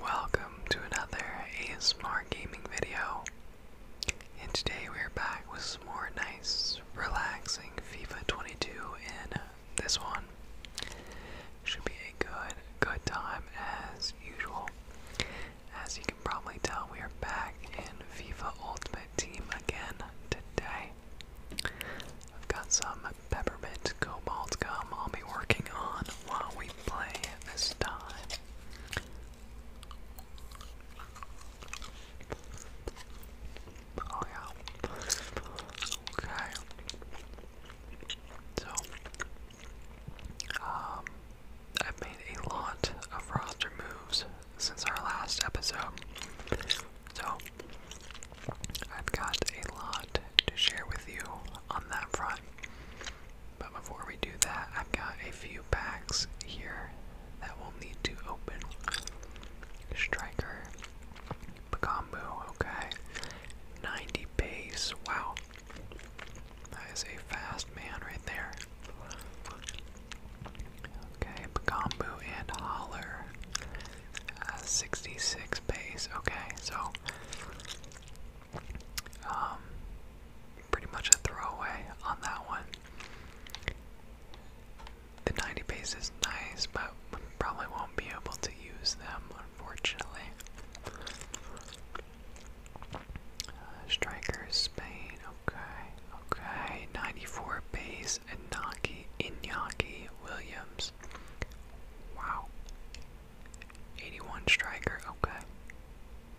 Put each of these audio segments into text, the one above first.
Welcome to another ASMR gaming video. And today we're back with some more nice, relaxing FIFA 22 in this one. Should be a good, good time as usual. As you can probably tell, we are back in FIFA Ultimate Team again today. I've got some Peppermint Cobalt Gum I'll be working on while we play this time. Oh yeah. Okay. So, um, I've made a lot of roster moves since our last episode. So, I've got a lot to share with you on that front. But before we do that, I've got a few packs here that we'll need to open. Striker, Pagombo, okay. 90 pace, wow. That is a fast man right there. Okay, Pagombo and Holler. Uh, 66 pace, okay, so um, pretty much a throwaway on that one. The 90 pace is nice, but probably won't be able to use them, unfortunately. Uh, Strikers, Spain, okay, okay. 94 base, Inaki, Inyaki Williams. Wow, 81 striker, okay.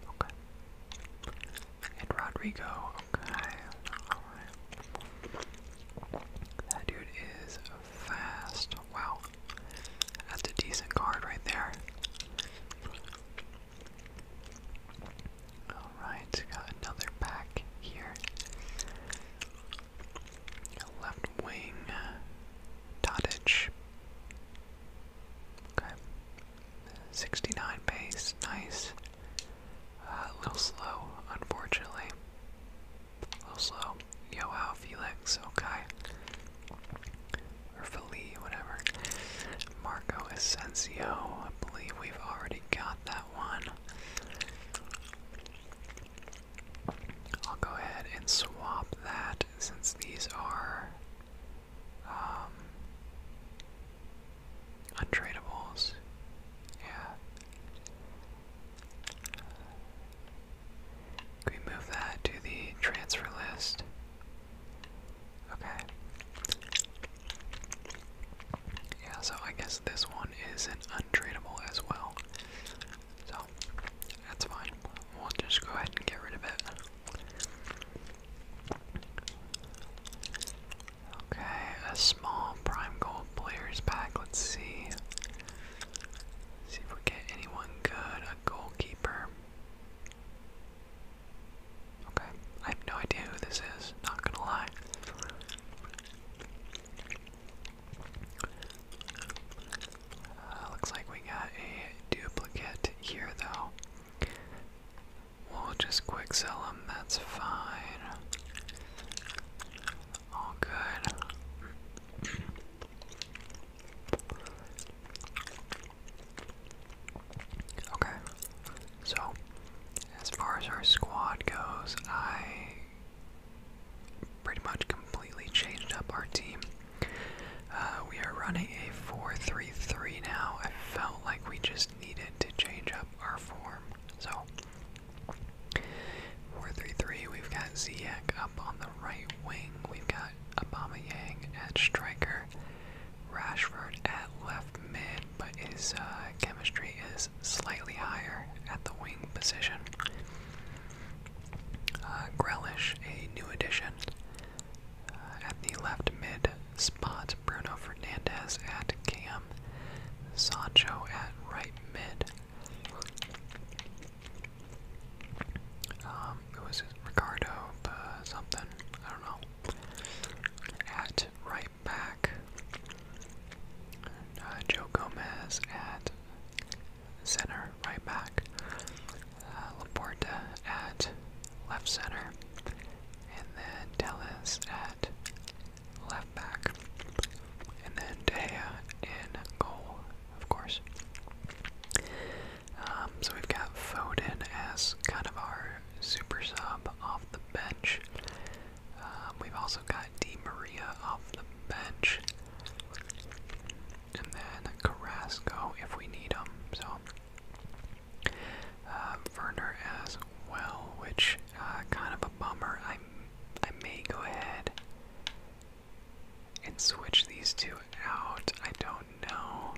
Okay. And Rodrigo, okay. Alright. That dude is fast. Wow. That's a decent card right there. Alright, got another pack here. Left wing. Tadic. Okay. 69 pace, nice. Uh, a little slow, unfortunately. A little slow. Yo, wow, Felix, okay. Or Philly, whatever. Marco Asensio, I believe we've already got that one. I'll go ahead and swap that since these are um, untradeables. Yeah. Can we move that to the transfer list? Okay. Yeah, so I guess this one is an untradeable as well. So, that's fine. We'll just go ahead and get rid of it. Okay, a small prime gold players pack. Let's see. see if we get anyone good. A goalkeeper. Okay, I have no idea who this is. Not gonna lie. Uh, looks like we got a duplicate here, though. We'll just quick sell them, that's fine. All good. Okay, so as far as our squad goes, I pretty much completely changed up our team. Uh, we are running a 4 now. I felt like we just needed to change up our form. So, 4 we've got Ziyech up on the right wing. We've got Obama Yang at striker, Rashford at left mid, but his uh, chemistry is slightly higher at the wing position. Uh, a new addition. Uh, at the left mid spot, Bruno Fernandez at cam, Sancho at right mid. Um, it was Ricardo uh, something, I don't know. At right back, uh, Joe Gomez at center, right back. Uh, Laporta at left center, and then Tellez at left back, and then De Gea in goal, of course. Um, so we've got Foden as kind of our super sub off the bench. Um, we've also got Di Maria off the bench and then Carrasco if we need him. So uh, Werner as well, which uh, kind of a bummer. I I may go ahead and switch these two out. I don't know.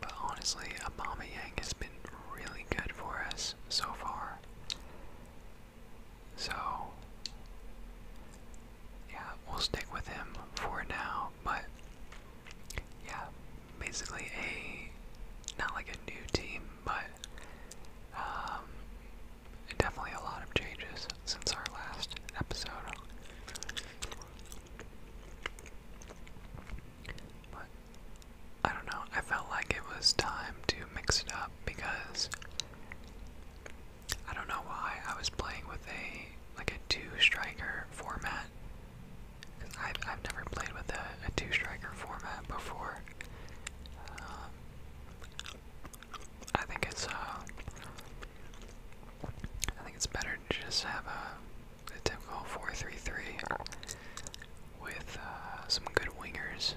But honestly, Obama Yang has been really good for us so far. So, yeah, we'll stick with him for now, but yeah, basically a, not like a new team, but um, definitely a lot of changes since our last episode. But, I don't know, I felt like it was time to mix it up because I don't know why I was playing with a like a two striker format. Cause I've I've never played with a, a two striker format before. Um, I think it's uh, I think it's better to just have a, a typical four three three with uh, some good wingers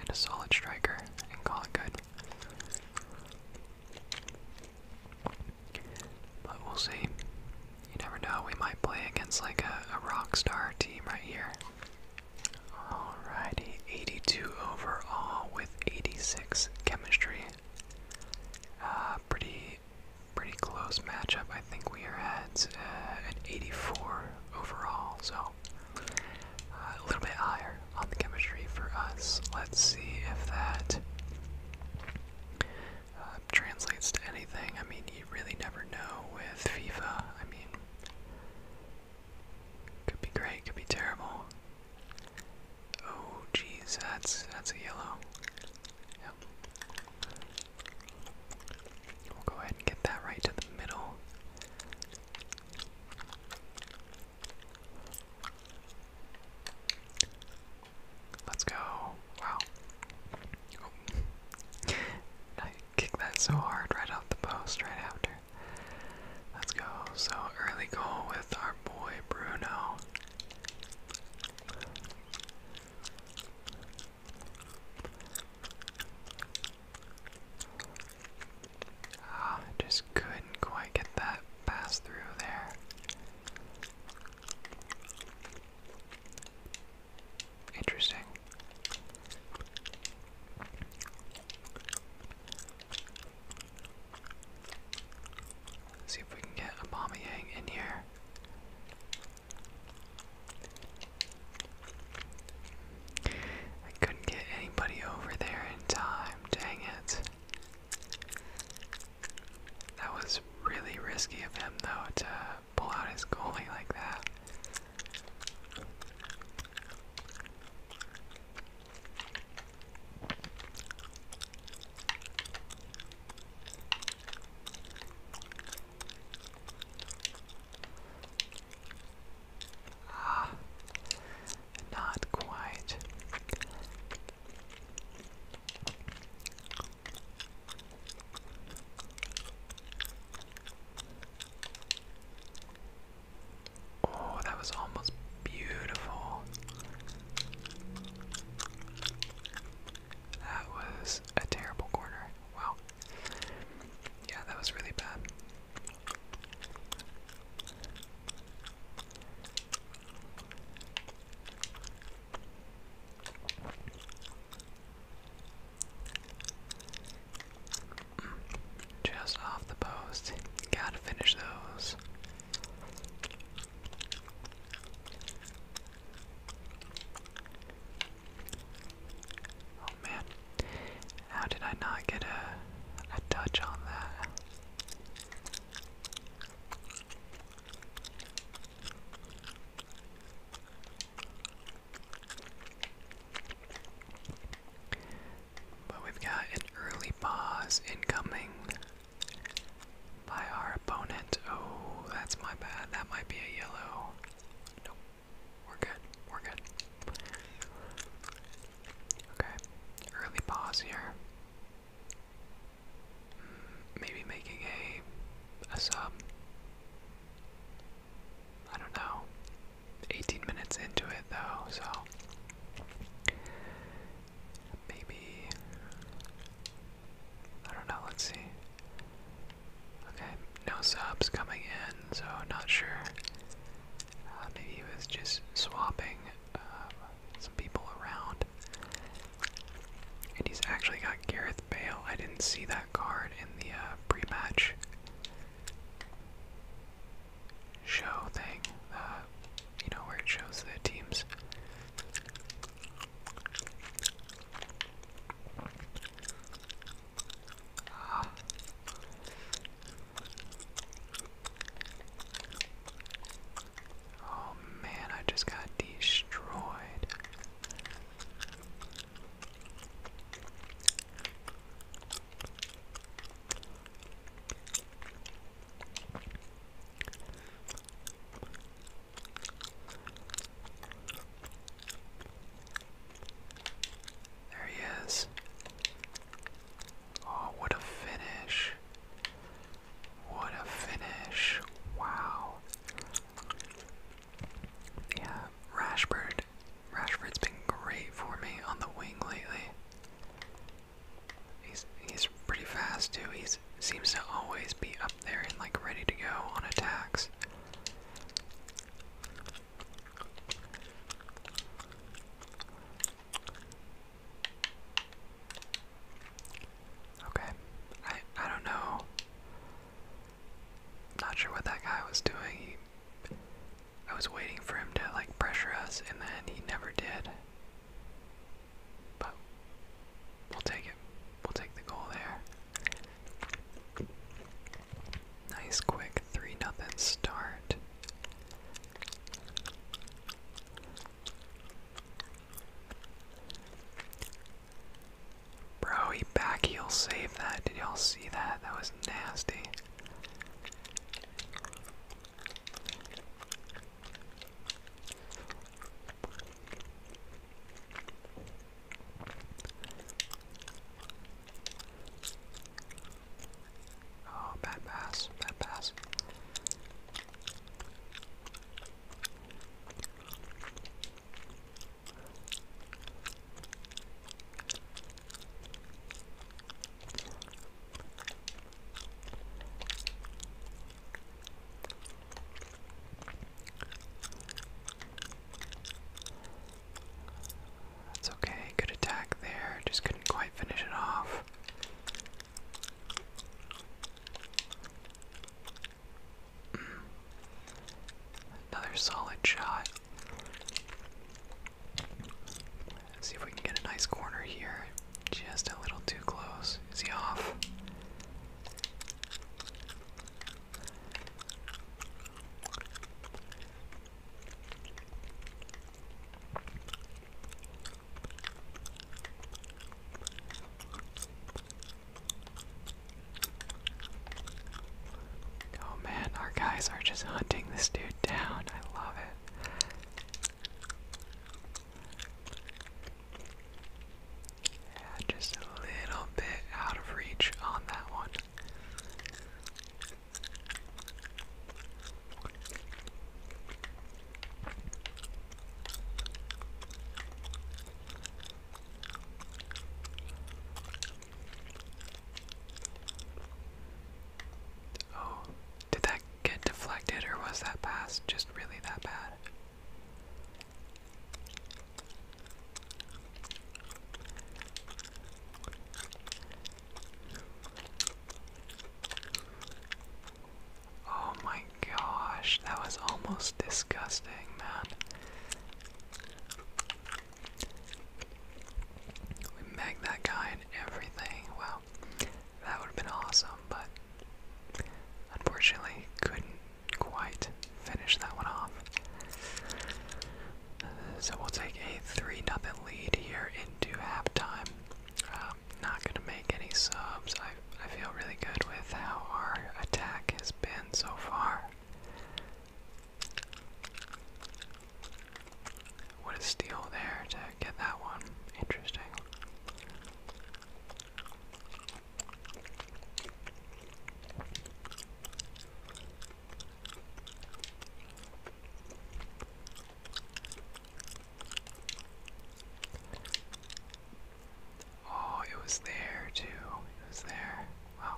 and a solid striker and call it good. But we'll see. You never know, we might play against like a, rock star team right here. Alrighty, 82 overall with 86 chemistry. Uh, pretty, pretty close matchup. I think we are at uh, an 84 overall, so a little bit higher on the chemistry for us. Let's see if that uh, translates to anything. I mean, you really never know with FIFA. I mean, could be great, could be terrible. Oh, geez, that's that's a yellow. Yep. We'll go ahead and get that right to the middle. Let's go. Wow. Oh. I kicked that so hard right off the post right after. Let's go. So early goal with our boy Bruno. Ah, just couldn't quite get that pass through there. Interesting. see if we can get a Bomb Yang in here. I couldn't get anybody over there in time. Dang it. That was really risky of him, though, to pull out his goalie like that. Ah, not quite. Oh, that was almost beautiful. That was a terrible corner. Wow. Yeah, that was really bad. Just off the post. Gotta finish those. Oh, man, how did I not get a, a touch on that? But we've got an early pause incoming by our opponent. Oh, that's my bad. That might be a yellow. Nope. We're good. We're good. Okay, early pause here. Hmm, maybe making a a sub. I don't know. 18 minutes into it though, so maybe I don't know, let's see. Okay, no subs coming in, so not sure uh, maybe he was just swapping um, some people around. And he's actually got Gareth Bale. I didn't see that card in the uh, pre match show thing. Uh, you know, where it shows the teams. Oh man, I just got destroyed. There he is. Oh, what a finish. What a finish. Wow. Yeah, Rashford. Rashford's been great for me on the wing lately. He's he's pretty fast too. He seems to always be up there and like ready to go on attacks. Okay. I I don't know. Not sure what that guy was doing. I was waiting for him to like pressure us and then he never did. But we'll take it. We'll take the goal there. Nice quick 3 nothing start. Bro, he back heel saved that. Did y'all see that? That was nasty. Oh, bad pass, bad pass. That's okay, good attack there, just couldn't quite finish it off. Hmm. Another solid shot. see if we can get a nice corner here. Just a little too close. Is he off? Oh man, our guys are just hunting this dude down. I love it. Yeah, just a little bit out of reach on that one. Oh, did that get deflected or was that pass just really that bad? Oh my gosh, that was almost disgusting, man. We megged that guy and everything. Wow, that would have been awesome, but unfortunately, couldn't quite finish that one off. So we'll take a 3 0 lead here into halftime. Um, not gonna make any subs. I I feel really good with how our attack has been so far. What a steal there to get that one. Interesting. Oh, it was there too. It was there. Wow.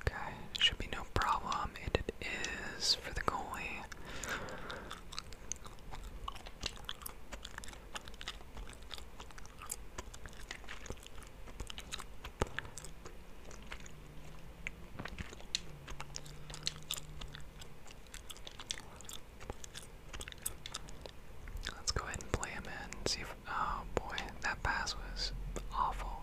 Okay, should be no problem, and it is for the goalie. Let's go ahead and play him in. Oh boy, that pass was awful.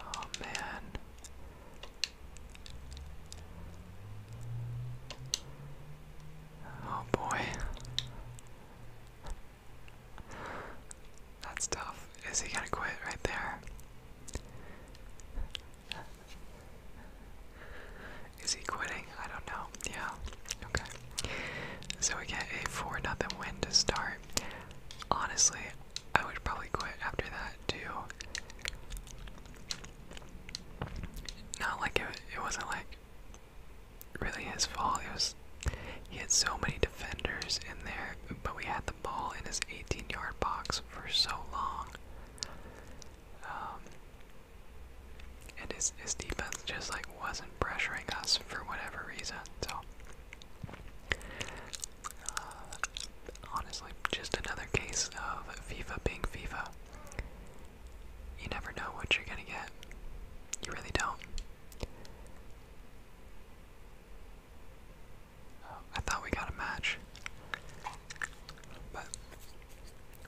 Oh man. Oh boy. That's tough. Is he gonna quit right there? Is he quitting? I don't know. Yeah. Okay. So we get a 4 nothing win to start. Honestly, I would probably quit after that too. Not like it, it wasn't like really his fault. It was he had so many defenders in there, but we had the ball in his 18-yard box for so long. Um, and his, his defense just like wasn't pressuring us for whatever reason. So uh, honestly, just another case of FIFA being FIFA. You never know what you're gonna get. You really don't. Oh, I thought we got a match. But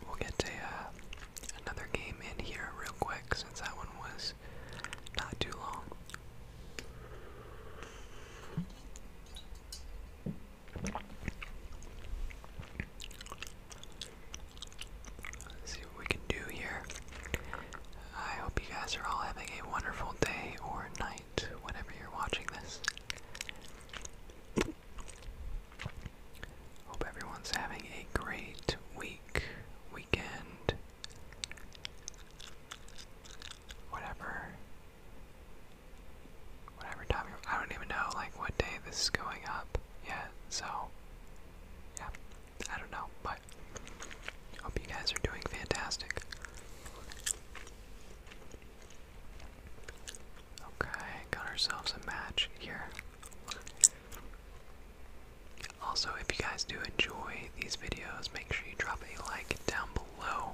we'll get to uh, another game in here real quick since that one was not too long see what we can do here. I hope you guys are all having a wonderful day or night, whenever you're watching this. Hope everyone's having a great week, weekend, whatever whatever time you're, I don't even know like what day this is going up yet, so yeah, I don't know, but hope you guys are doing fantastic. Okay, got ourselves a match here. Also, if you guys do enjoy these videos, make sure you drop a like down below.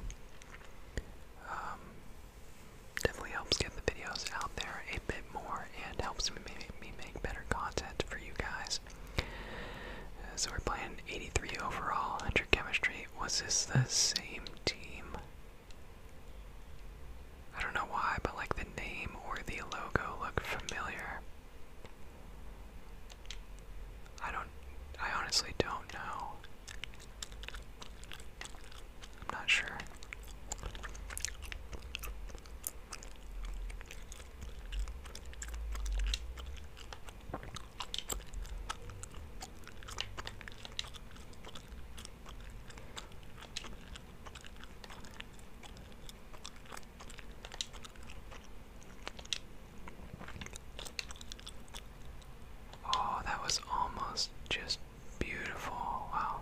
Um, definitely helps get the videos out there a bit more and helps me, make better content for you guys. Uh, so we're playing 83 overall, 100 chemistry. Was this the same team? I don't know why, but like the name or the logo looked familiar. I don't. I honestly don't know. I'm not sure. Oh, that was almost just beautiful. Wow.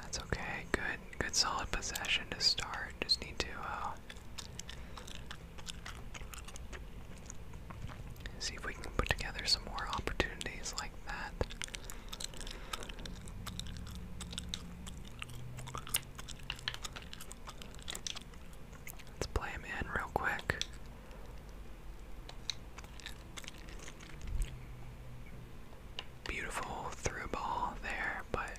That's okay. Good, good solid possession to start. Just need to uh, see if we can put together some more opportunities like that. Let's play him in real quick. Beautiful through ball there, but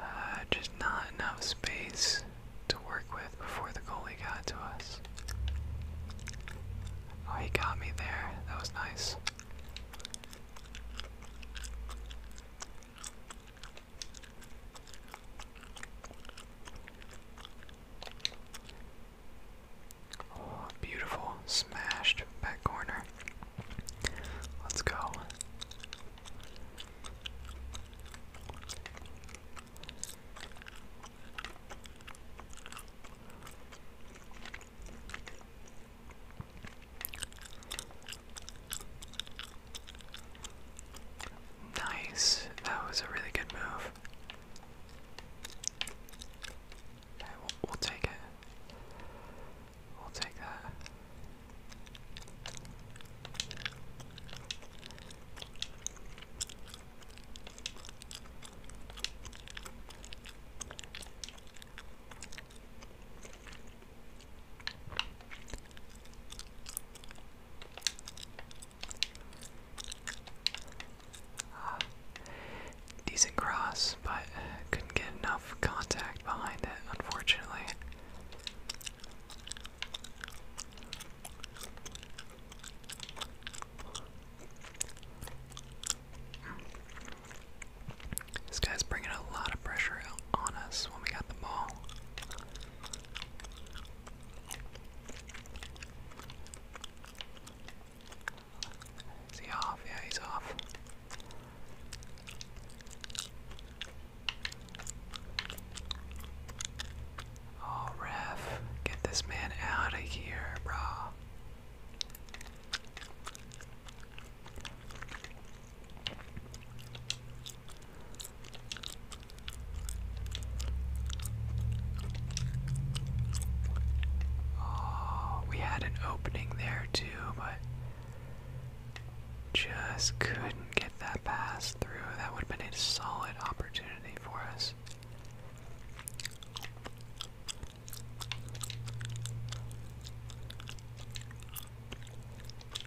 uh, just not enough space to work with before the goalie got to us. Oh, he got me there. That was nice. Oh, beautiful. Smashed back corner. Let's go. Nice. That was a really good move. we'll take it. We'll take that. Uh, decent cross, but couldn't get enough contact behind it, unfortunately. This guy's bringing a lot of pressure on us when we got the ball. Is off? he's off. Oh, ref, get this man out of here, brah. Oh, we had an opening there too, but just couldn't get that pass through. That would have been a solid opportunity for us.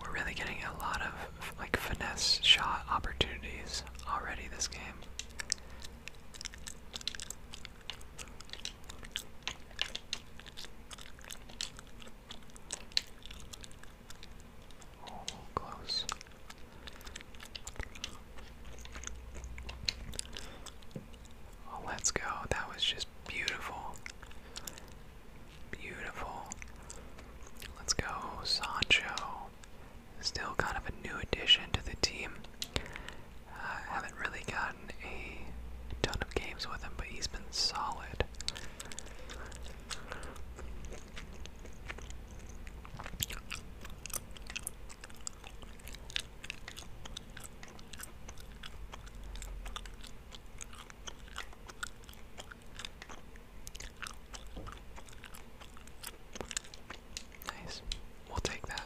We're really getting a lot of like finesse shot opportunities already this game. Oh, close. Oh, let's go. That was just beautiful. Beautiful. Let's go, Sancho. Still kind of a new addition to the team. Uh, haven't really gotten a ton of games with him, but he's been solid. Nice. We'll take that.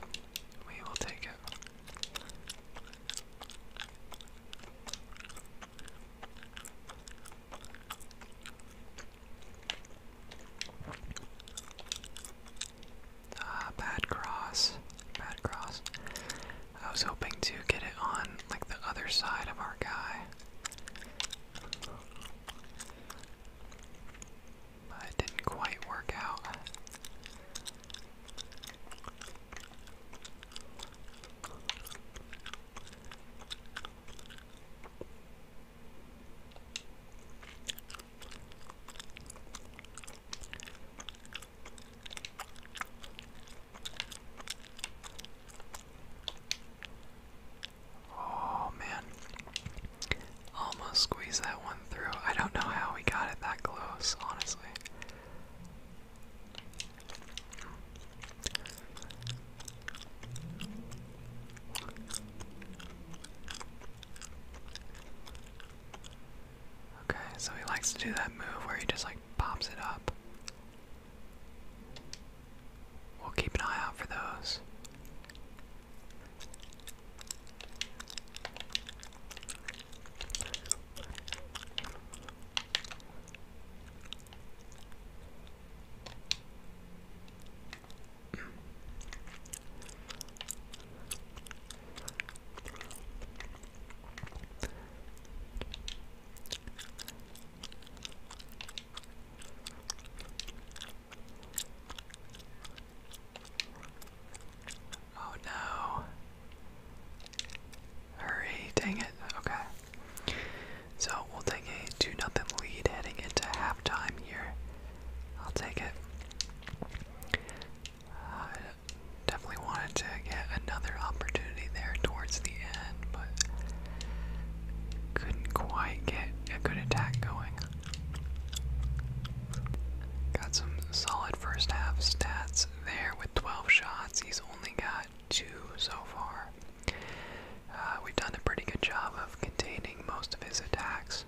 We will take it. Ah, bad cross. Bad cross. I was hoping to get it on like the other side of our guy. But it didn't quite work out. Oh man. Almost squeezed that one through. I don't know how we got it that close, honestly. Okay, so he likes to do that move where he just like pops it up. We'll keep an eye out for those. Oh no. Hurry, dang it. Okay. So we'll take a 2 nothing lead heading into halftime here. I'll take it. Uh, definitely wanted to get another opportunity there towards the end, but couldn't quite get a good attack going. Got some solid first half stats there with 12 shots. He's only got two so far. Uh, we've done a pretty good job of containing most of his attacks.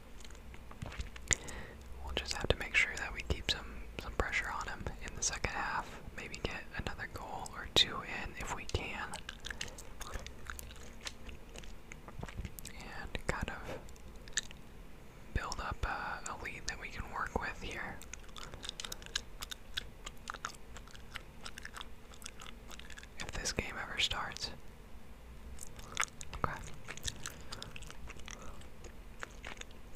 We'll just have to make sure that we keep some some pressure on him in the second half. Maybe get another goal or two in if we can. And kind of build up a, a lead that we can work with here. If this game ever starts. Okay.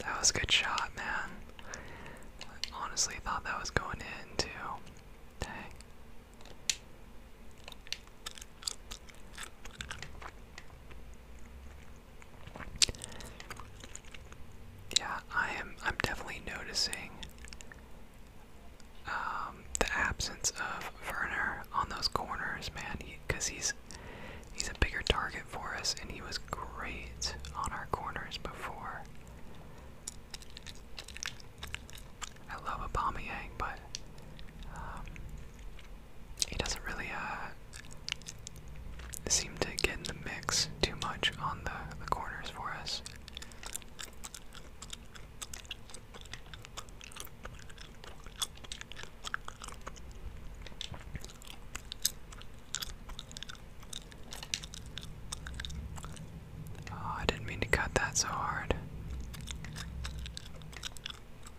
that was a good shot, man. I honestly thought that was going in too. Dang. Yeah, I am. I'm definitely noticing um, the absence of Werner on those corners, man. Because he's he's a bigger target for us, and he was great on our corners before. I love Aubameyang, but um, he doesn't really uh, seem to get in the mix too much on the, the corners for us. Oh, I didn't mean to cut that so hard.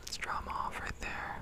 Let's draw off right there.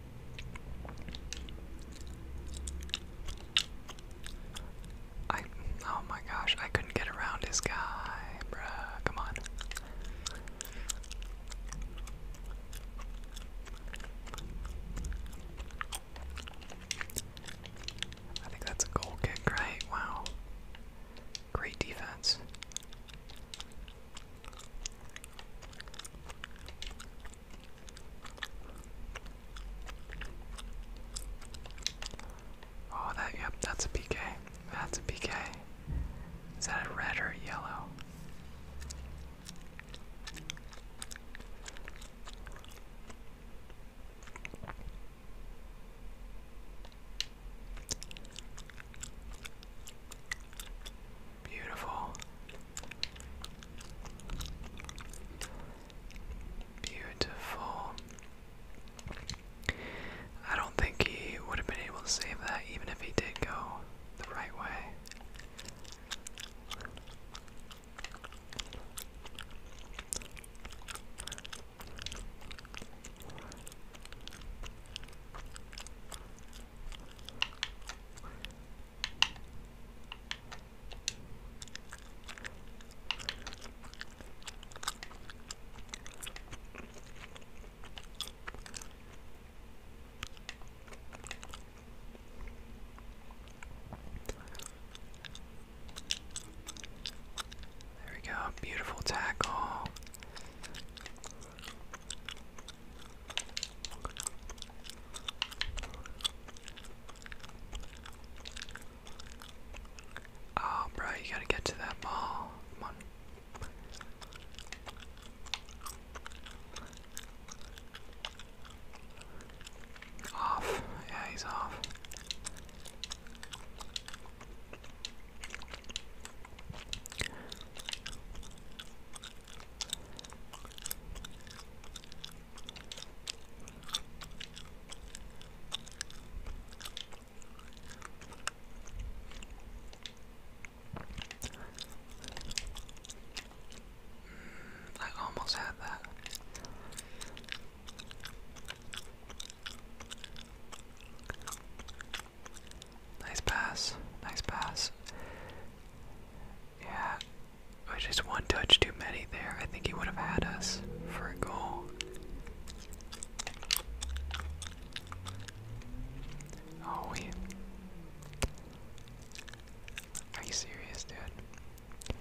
I oh my gosh, I couldn't get around this guy, bruh. Come on. I think that's a goal kick, right? Wow. Great defense. Oh, that, yep, that's a PK. That's a PK. Is that a red or a yellow? Beautiful. Beautiful. I don't think he would have been able to save that even if he did go the right way. There we go, beautiful tackle. Oh, bro, you gotta get to that mall. Come on. Off. Yeah, he's off. I almost had that. Nice pass. Nice pass. Yeah, it was just one touch too many there. I think he would have had us for a goal. Oh, we. Are you serious, dude?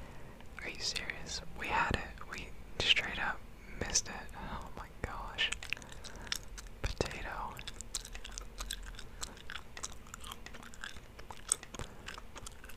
Are you serious? We had it. We straight up missed it. Oh my gosh. Potato.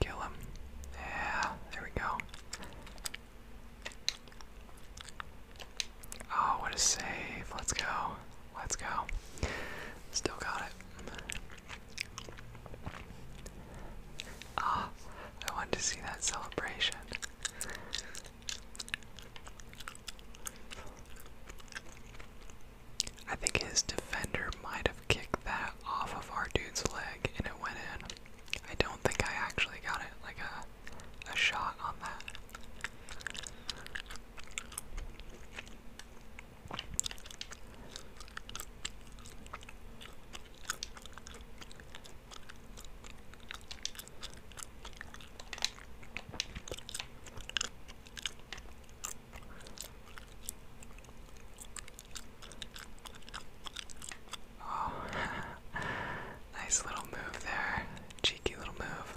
Kill him. Yeah, there we go. Oh, what a save. Let's go. Let's go. Still got it. Ah, I wanted to see that celebration. I think his defender might have kicked that off of our dude's leg and it went in. I don't think I actually got it like a a shot on that. Oh, nice little move there. Cheeky little move.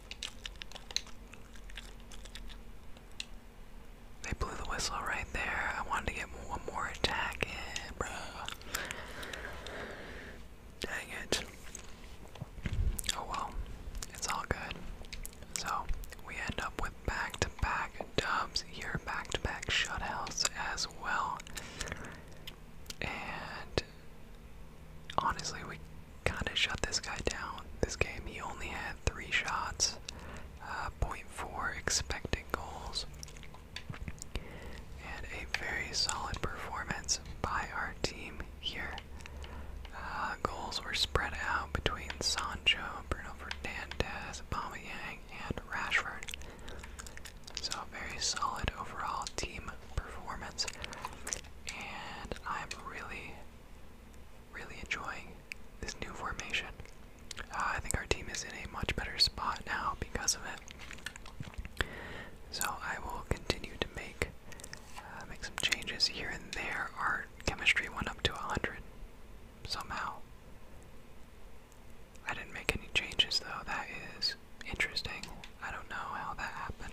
They blew the whistle right there. I wanted to get one more attack in, bro. Dang it. Oh well, it's all good. So, we end up with back to back dubs here, back to back shutouts as well. And Honestly, we kind of shut this guy down. This game, he only had three shots, uh, 0.4 expected goals, and a very solid performance by our team here. Uh, goals were spread out between Sancho, Bruno Fernandez, Aubameyang, and Rashford. So a very solid overall team performance, and I'm really Really enjoying this new formation. Uh, I think our team is in a much better spot now because of it. So I will continue to make uh, make some changes here and there. Our chemistry went up to 100 somehow. I didn't make any changes though. That is interesting. I don't know how that happened